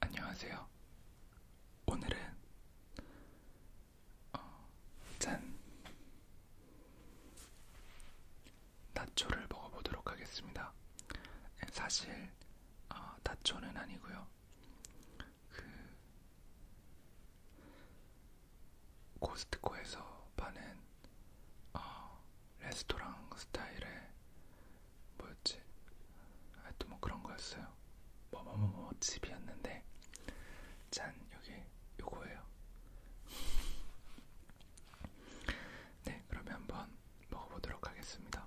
안녕하세요. 오늘은 어, 짠 나초를 먹어보도록 하겠습니다. 예, 사실 어, 나초는 아니고요. 그 코스트코에서 파는 어, 레스토랑 스타일의 뭐였지? 하여튼 뭐 그런 거였어요. 뭐뭐뭐뭐 집이었는데 짠 여기 요거예요. 네, 그러면 한번 먹어보도록 하겠습니다.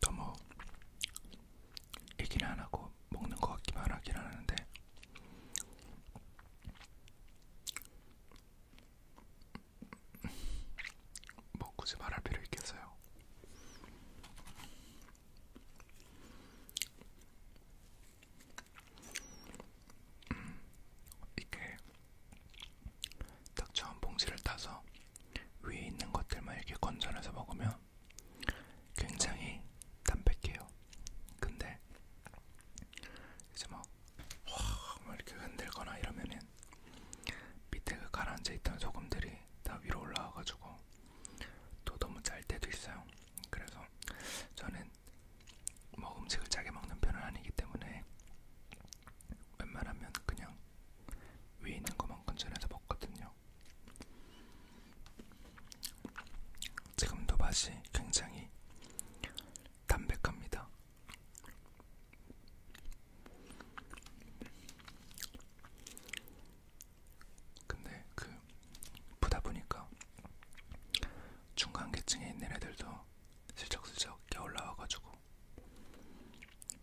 너무 뭐 얘기를 안 하고 먹는 것 같기만 하긴 하는데 뭐 굳이 말할 필요 있겠어요. 음, 이렇게 딱 처음 봉지를 따서 위에 있는 것들만 이렇게 건져내서 먹으면 굉장히 담백해요. 근데 이제 막, 확, 막 이렇게 흔들거나 이러면은 밑에 그 가라앉아 있던 소금들이 다 위로 올라와가지고 또 너무 짤 때도 있어요. 그래서 저는 뭐 음식을 짜게 먹는 편은 아니기 때문에 웬만하면 그냥 위에 있는 것만 건져내서 먹거든요. 지금도 맛이 굉장히 담백합니다. 근데 그 보다 보니까 중간계층에 있는 애들도 슬쩍슬쩍 올라와가지고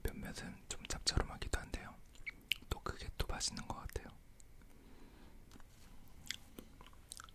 몇몇은 좀 짭조름하기도 한데요. 또 그게 또 맛있는 것 같아요.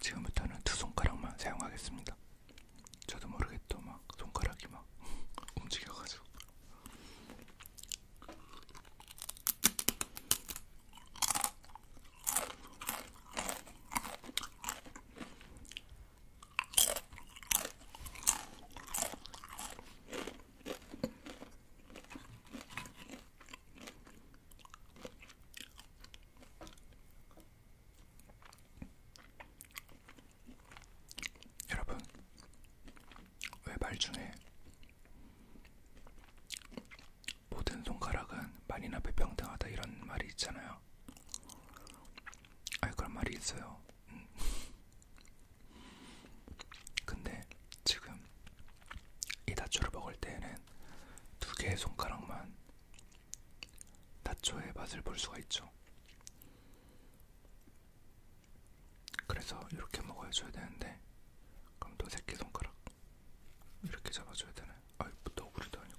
지금부터는 두 손가락만 사용하겠습니다. 저도 모르게 또막 손가락이 막 움직여가지고. 여러분, 왜 말 중에 모든 손가락은 만이나 배평등하다 이런 말이 있잖아요. 아 그런 말이 있어요. 음. 근데 지금 이 다초를 먹을 때에는 두 개의 손가락만 다초의 맛을 볼 수가 있죠. 그래서 이렇게 먹어줘야 되는데 그럼 또 새끼 손가락 이렇게 잡아줘야 되네. 아이 뭐 너구리도 아니고.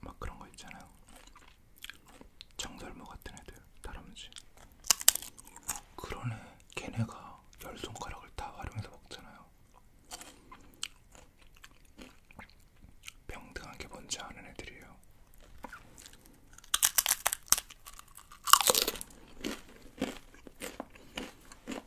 막 그런 거 있잖아요. 정설모 같은 애들 다람쥐. 그러네. 걔네가 열 손가락을 다 활용해서 먹잖아요. 평등한 게 뭔지 아는 애들이에요.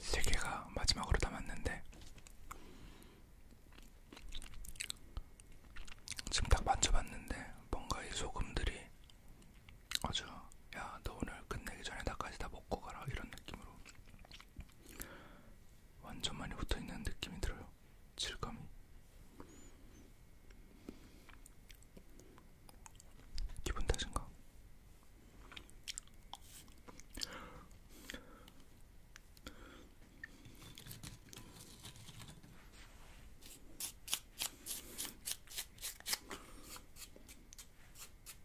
세 개가 마지막으로 남았는데 지금 딱 만져봤는데 뭔가 이 소금들이 아주 야너 오늘 끝내기 전에 나까지 다 먹고 가라 이런 느낌으로 완전 많이 붙어있는 느낌이 들어요. 질감이. 기분 탓인가?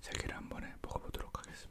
세 개를 한 번에 먹어보도록 하겠습니다.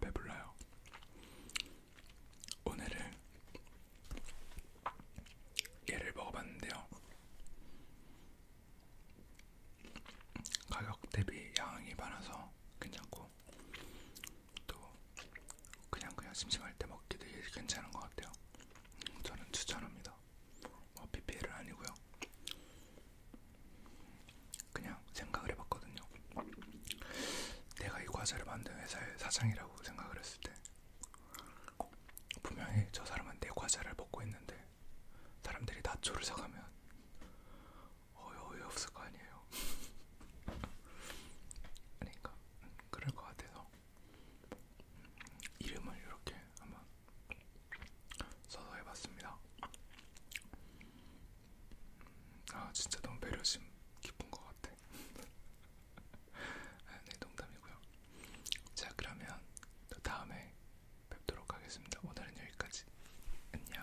배불러요. 오늘은 얘를 먹어봤는데요. 가격 대비 양이 많아서 괜찮고 또 그냥 그냥 심심할 때 먹기 되게 괜찮은 것 같아요. 음, 저는 추천합니다. 뭐 PPL은 아니고요. 그냥 생각을 해봤거든요. 내가 이 과자를 만든 회사의 사장이라고 생각을 했을 때 분명히 저 사람은 내 과자를 먹고 있는데 사람들이 나초를 사가면 어이 어이 없을 거 아니에요. 그러니까 그럴 것 같아서 이름을 이렇게 한번 써서 해봤습니다. 아 진짜 너무 배려심 깊은 것 같아. 아, 네 농담이고요. 자 그러면 또 다음에 뵙도록 하겠습니다. 오늘은 여기까지. 안녕.